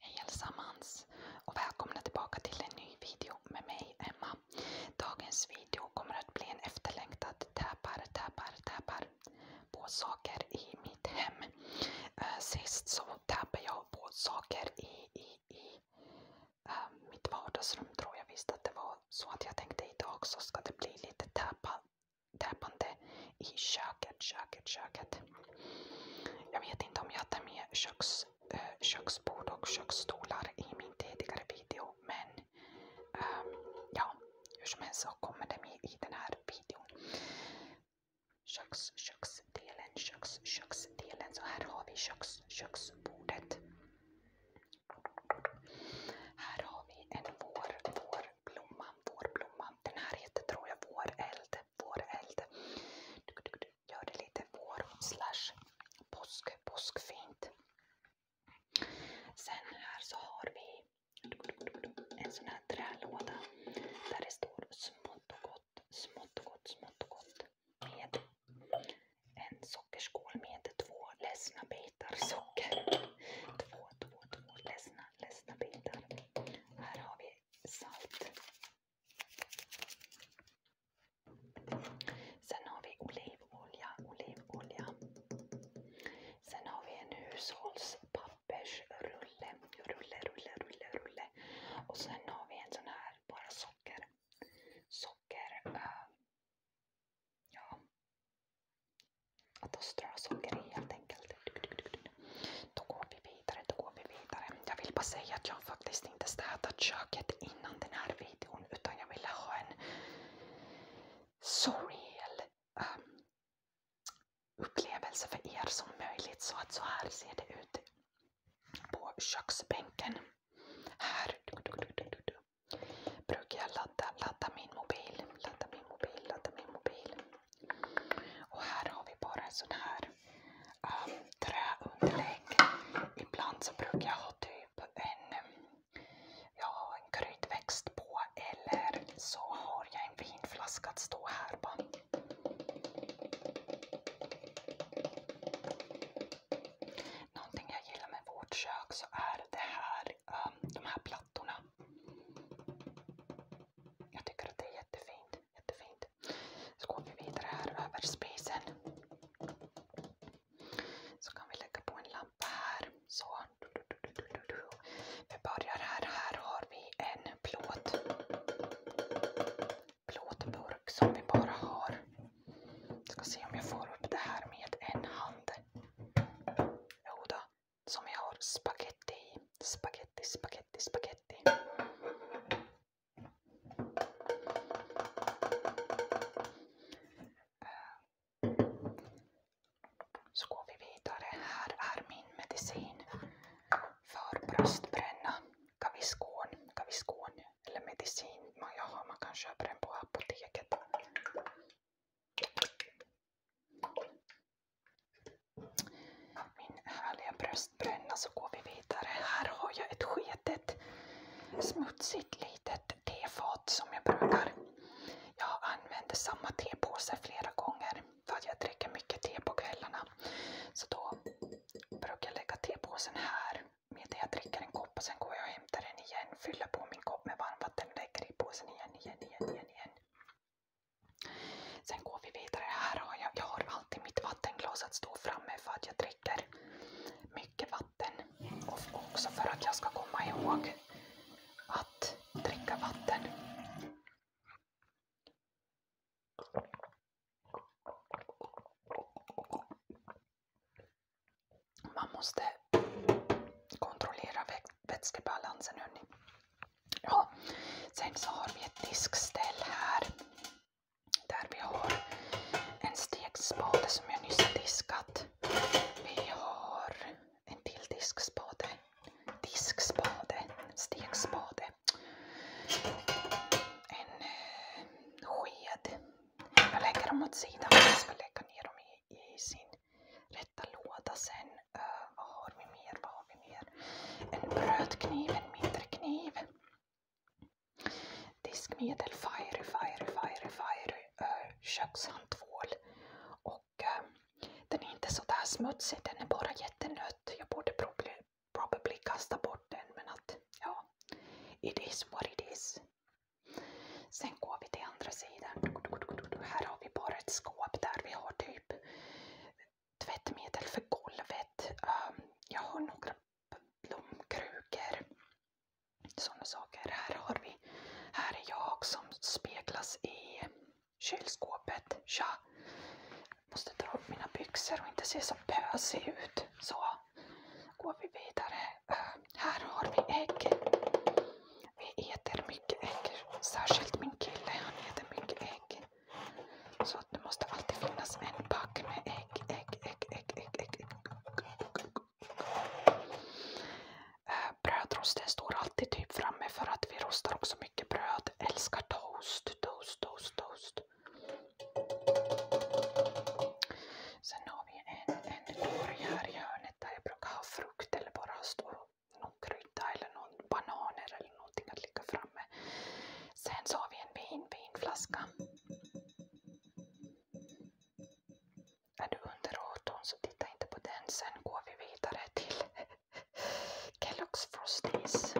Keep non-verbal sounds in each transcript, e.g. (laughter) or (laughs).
Hej allesammans och välkomna tillbaka till en ny video med mig Emma. Dagens video kommer att bli en efterlängtad täpar, täpar, täpar på saker i mitt hem. Eh, sist så täpade jag på saker i, i, i eh, mitt vardagsrum tror jag visst att det var. Så att jag tänkte idag så ska det bli lite täpa, täpande i köket, köket, köket. Jag vet inte om jag tar med köks, eh, köksbord och köksstolar i min tidigare video, men um, ja, hur som helst så kommer det med i den här videon. Köks, köksdelen, köks, köksdelen. Så här har vi köks, köksbordet. Här har vi en vår, vårblomma, vårblomma. Den här heter tror jag våreld lite våreld. Gör det lite vår slash påsk, påskfint. Sen här så har vi en sån här trälåda där det står smått och gott, smått och gott, smått och gott. Med en sockerskål med två ledsna bitar socker. Två, två, två ledsna, ledsna bitar. Här har vi salt. Sen har vi olivolja, olivolja. Sen har vi en hushållspappersrulle, rulle, rulle, rulle, rulle. Och sen har vi en sån här, bara socker. Socker. Uh, ja. Att strö socker i helt enkelt. Då går vi vidare, då går vi vidare. Jag vill bara säga att jag faktiskt inte städat köket innan den här videon utan jag ville ha en surreal um, upplevelse för er som möjligt. Så att så här ser det ut på köksbänken. Här du, du, du, du, du. brukar jag ladda, ladda min mobil, ladda min mobil, ladda min mobil. Och här har vi bara en sån här um, träunderlägg. Ibland så brukar jag ha typ en, um, ja, en kryddväxt på eller så har jag en vinflaska att stå här på. Någonting jag gillar med vårt kök så är det här, um, de här plattorna. Jag tycker att det är jättefint. Jättefint. Så går vi vidare här över spisen. Så kan vi lägga på en lampa här. Så. Vi börjar här. Här har vi en plåt. Plåtburk som vi bara har. Jag ska se om jag får upp det här med en hand. Jodå, som jag har spaghetti i. Spaghetti, spaghetti, spaghetti. Äh. Så går vi vidare. Här är min medicin för bröstbränna. Gaviscon, Gaviscon eller medicin man kan köpa den på apoteket. Min härliga bröstbränna så går vi vidare. Här har jag ett sketet smutsigt litet tefat som jag brukar. Jag använder samma tepåse flera gånger för att jag dricker mycket te på kvällarna. Så då brukar jag lägga tepåsen här med det jag dricker en kopp och sen går jag och hämtar den igen, fyller på min kopp med varmvatten och lägger i påsen igen, igen, igen, igen. igen. Sen går vi vidare. Här har jag, jag har alltid mitt vattenglas att stå framme för att jag dricker mycket vatten. Och också för att jag ska komma ihåg att dricka vatten. Man måste kontrollera vätskebalansen hörni. Ja. Sen så har vi ett diskställ här där vi har en stekspade som jag nyss har diskat. Vi har en till diskspade, diskspade, stekspade. En eh, sked. Jag lägger dem åt sidan jag ska lägga ner dem i, i sin rätta låda sen uh, vad har vi mer, vad har vi mer? En brödkniv, en mindre kniv. Diskmedel, fiery, fiery, fiery, fiery. Uh, öh, kökshandtvål. Och uh, den är inte sådär smutsig, den är bara jättenött. Jag borde probably, probably kasta bort den men att ja, it is what it is. Sen går vi till andra sidan. Här har vi bara ett skåp där vi har typ tvättmedel för golvet. Ehm, jag har några blomkrukor. Sådana saker. Här har vi, här är jag som speglas i kylskåpet. Tja! Måste dra upp mina byxor och inte se så pösig ut. Så går vi vidare. Ehm, här har vi ägg. Vi äter mycket ägg. Särskilt min kille, han äter mycket ägg. Så det måste alltid finnas en pack med ägg, ägg, ägg, ägg, ägg, ägg. ägg. Eh, Brödrosten står alltid typ framme för att vi rostar också mycket bröd. Älskar toast, toast, toast, toast. Sen har vi en, en torg här i hörnet där jag brukar ha frukt eller bara stå någon krydda eller någon bananer eller någonting att ligga framme. Sen så har vi en vin, vinflaska. Är du under 18 så titta inte på den. Sen går vi vidare till (laughs) Kellogg's Frosties.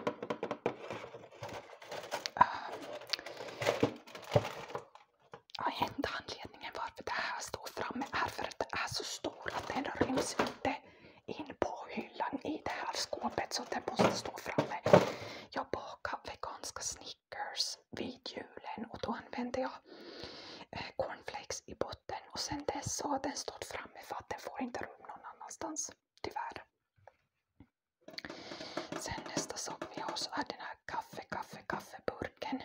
enda anledningen varför det här står framme är för att det är så stort att den ryms inte in på hyllan i det här skåpet så den måste stå framme. Jag bakade veganska Snickers vid julen och då använde jag eh, cornflakes i botten och sen dess så har den stått framme för att den får inte rum någon annanstans. Tyvärr. Sen nästa sak vi har så är den här kaffe, kaffe, kaffeburken.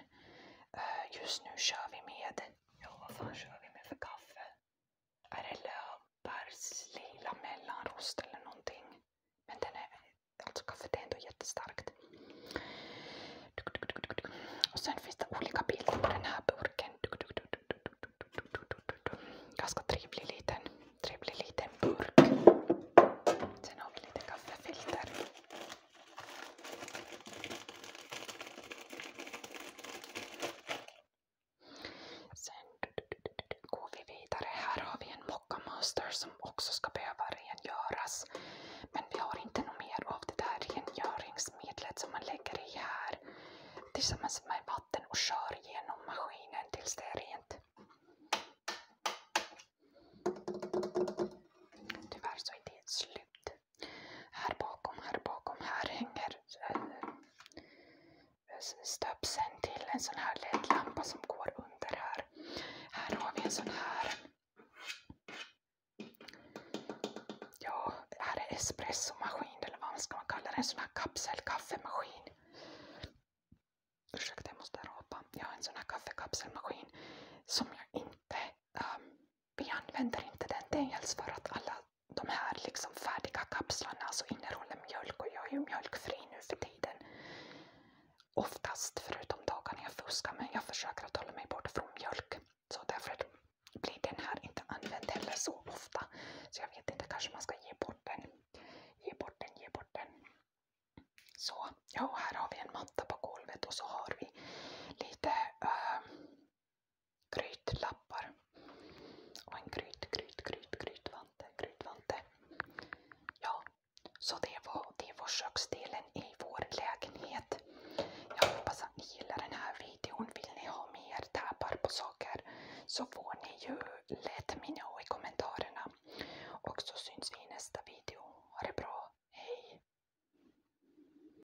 Eh, just nu kör vi med, ja vad fan kör vi med för kaffe? är det lila mellanrost eller någonting. Men den är, alltså kaffet är ändå jättestarkt. Och sen finns det olika bilder på den här burken. Ganska trevlig liten, trevlig liten burk. Sen har vi lite kaffefilter. Sen går vi vidare. Här har vi en mocka Master som också ska behöva rengöras. Men vi har inte något mer av det där rengöringsmedlet som man lägger i här tillsammans med vatten och kör genom maskinen tills det är rent. Tyvärr så är det slut. Här bakom, här bakom, här hänger eh, stöpseln till en sån här LED-lampa som går under här. Här har vi en sån här. Ja, det här är espressomaskin eller vad ska man kalla det? En sån här kapselkaffemaskin. Ursäkta, jag måste rapa. Jag har en sån här kaffekapselmaskin som jag inte um, vi använder inte den dels för att alla de här liksom färdiga kapslarna alltså innehåller mjölk och jag är ju mjölkfri nu för tiden. Oftast, förutom dagarna jag fuskar, men jag försöker att hålla mig borta från mjölk. Så därför blir den här inte använd heller så ofta. Så jag vet inte, kanske man ska ge bort den. Ge bort den, ge bort den. Så, ja, här har vi en matta på golvet och så har vi lite äh, grytlappar och en gryt, gryt, gryt, grytvante, grytvante. Ja, så det var, det var köksdelen i vår lägenhet. Jag hoppas att ni gillar den här videon. Vill ni ha mer tabbar på saker så får ni ju let me know i kommentarerna. Och så syns vi i nästa video. Ha det bra. Hej!